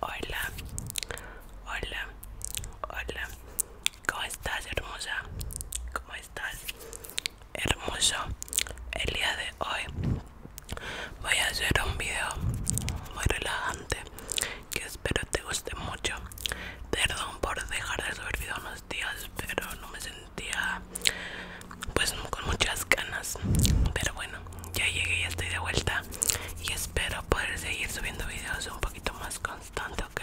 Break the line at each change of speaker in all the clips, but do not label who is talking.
Hola, hola, hola. ¿Cómo estás, hermosa? ¿Cómo estás? Hermoso. El día de hoy voy a hacer un video muy relajante que espero te guste mucho. Perdón por dejar de subir video unos días, pero no me sentía pues con muchas ganas pero bueno ya llegué ya estoy de vuelta y espero poder seguir subiendo videos un poquito más constante ok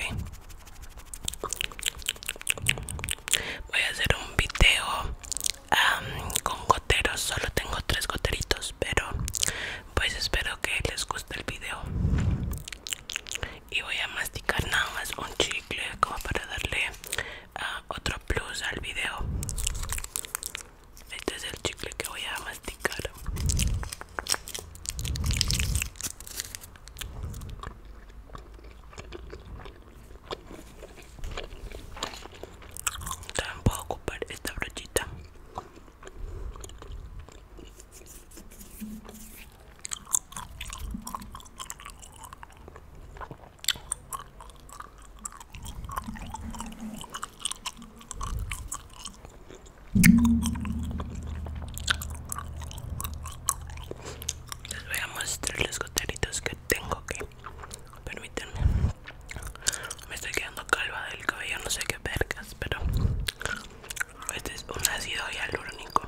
voy a hacer un video con goteros solo tengo tres goteritos pero pues espero que les guste el video y voy a masticar nada más un chicle como para darle ah, otro plus al video este es el chicle que voy a masticar. También puedo ocupar esta brochita. Les voy a mostrar los goteritos que tengo que permítanme. Me estoy quedando calva del cabello, no sé qué vergas, pero este es un ácido hialurónico.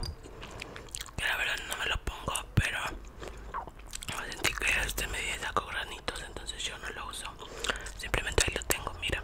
Que la verdad no me lo pongo, pero a sentir que este medio saco granitos entonces yo no lo uso simplemente ahí lo tengo mira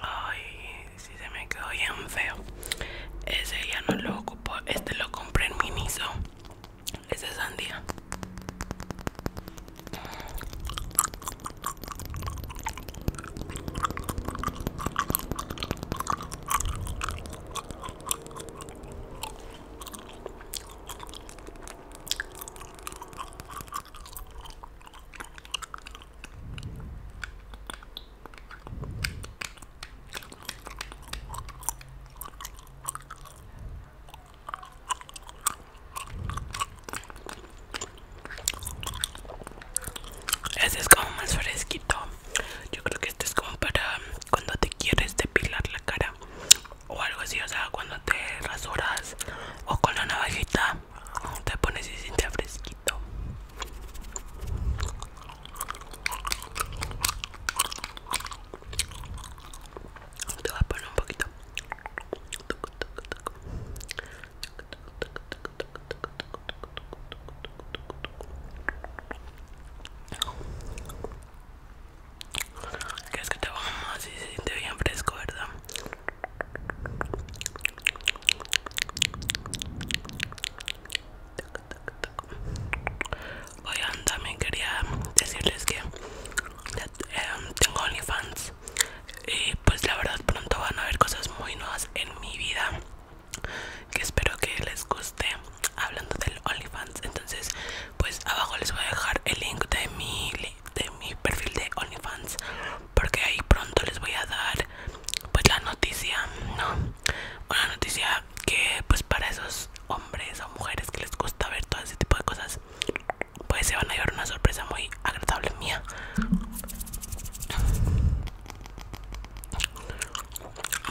Ay, si se me quedó bien feo. Ese ya no lo ocupó Este lo compré en Miniso. Ese es sandía. Este es como más fresquito. Yo creo que este es como para cuando te quieres depilar la cara o algo así, o sea, cuando te rasuras o con la navajita te pones y siente fresquito. Te voy a poner un poquito. Crees que te vamos y te siente bien fresco, ¿verdad? Oigan, también quería decirles que em, tengo OnlyFans y pues la verdad pronto van a haber cosas muy nuevas en mi vida que espero que les guste hablando del OnlyFans entonces pues abajo les voy a dejar el link de mi de mi perfil de OnlyFans porque ahí pronto les voy a dar pues la noticia no una noticia que pues para esos hombres o mujeres que les gusta ver todo ese tipo de cosas pues se van a llevar una sorpresa muy agradable mía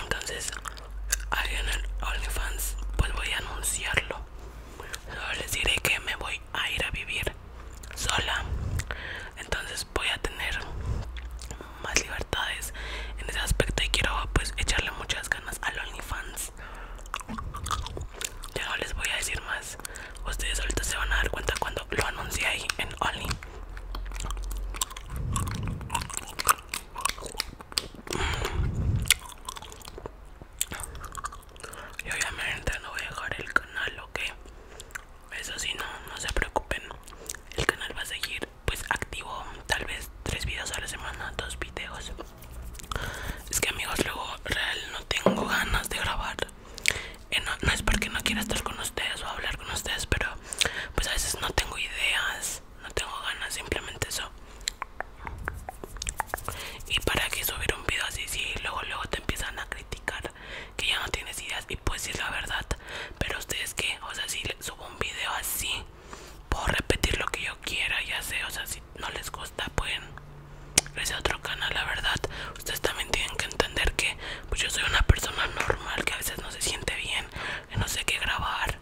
entonces alguien en OnlyFans, pues voy a anunciarlo. Solo les diré que me voy a ir a vivir sola. Entonces voy a tener más libertades en ese aspecto y quiero pues echarle muchas ganas al OnlyFans. Ya no les voy a decir más. Ustedes ahorita se van a dar cuenta cuando lo anuncie ahí en Only. Y obviamente no voy a dejar el canal, ok. Eso sí, no, no se preocupen. El canal va a seguir pues activo tal vez tres videos a la semana, dos videos. Es que amigos, luego real no tengo ganas de grabar. Eh, no es porque no quiera estar con ustedes o hablar con ustedes, pero pues a veces no tengo ideas no tengo ganas, simplemente eso. Y para que subir un video así, si luego luego te empiezan a criticar que ya no tienes ideas y pues es la verdad. Pero ustedes que, o sea, si subo un video así, puedo repetir lo que yo quiera, ya sé, o sea, si no les gusta pueden irse a otro canal, la verdad. Ustedes también tienen que entender que pues yo soy una persona normal que a veces no se siente bien, que no sé qué grabar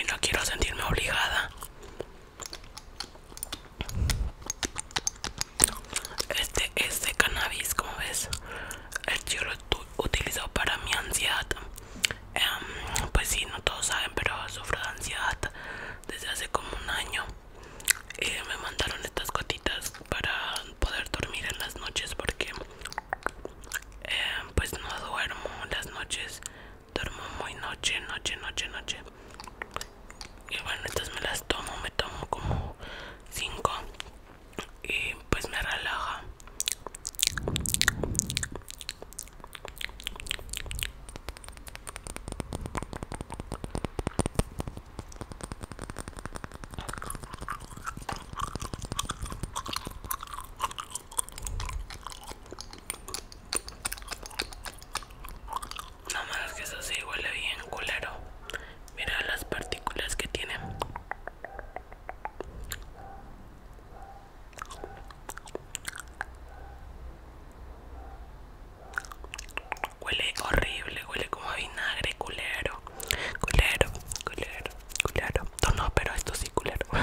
y no quiero sentirme obligada este es este cannabis como ves el chico lo utilizo para mi ansiedad em, pues si sí, no todos saben pero sufro de ansiedad desde hace como un año me mandaron estas gotitas para poder dormir en las noches porque em, pues no duermo las noches duermo muy noche, noche, noche, noche. Y bueno, entonces me las tomo, me tomo como cinco y pues me relaja. Nada más que eso sí huele bien culero. Mira las partículas que tiene. Huele horrible, huele como vinagre, culero. Culero, culero, culero. No, no, pero esto sí culero.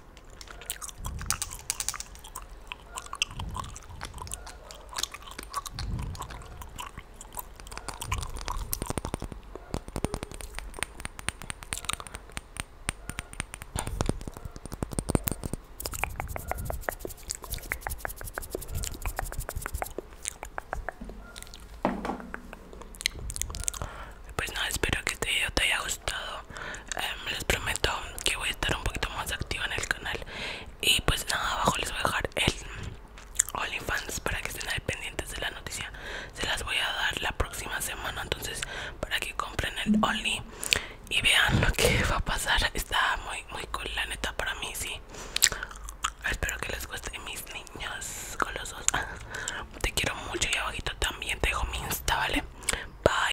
Pues nada, espero que te haya gustado Em, les prometo que voy a estar un poquito más activa en el canal y pues nada abajo les voy a dejar el OnlyFans para que estén al pendientes de la noticia se las voy a dar la próxima semana entonces para que compren el Only y vean lo que va a pasar está muy muy cool la neta para mí sí espero que les guste mis niños golosos te quiero mucho y abajito también te dejo mi insta vale bye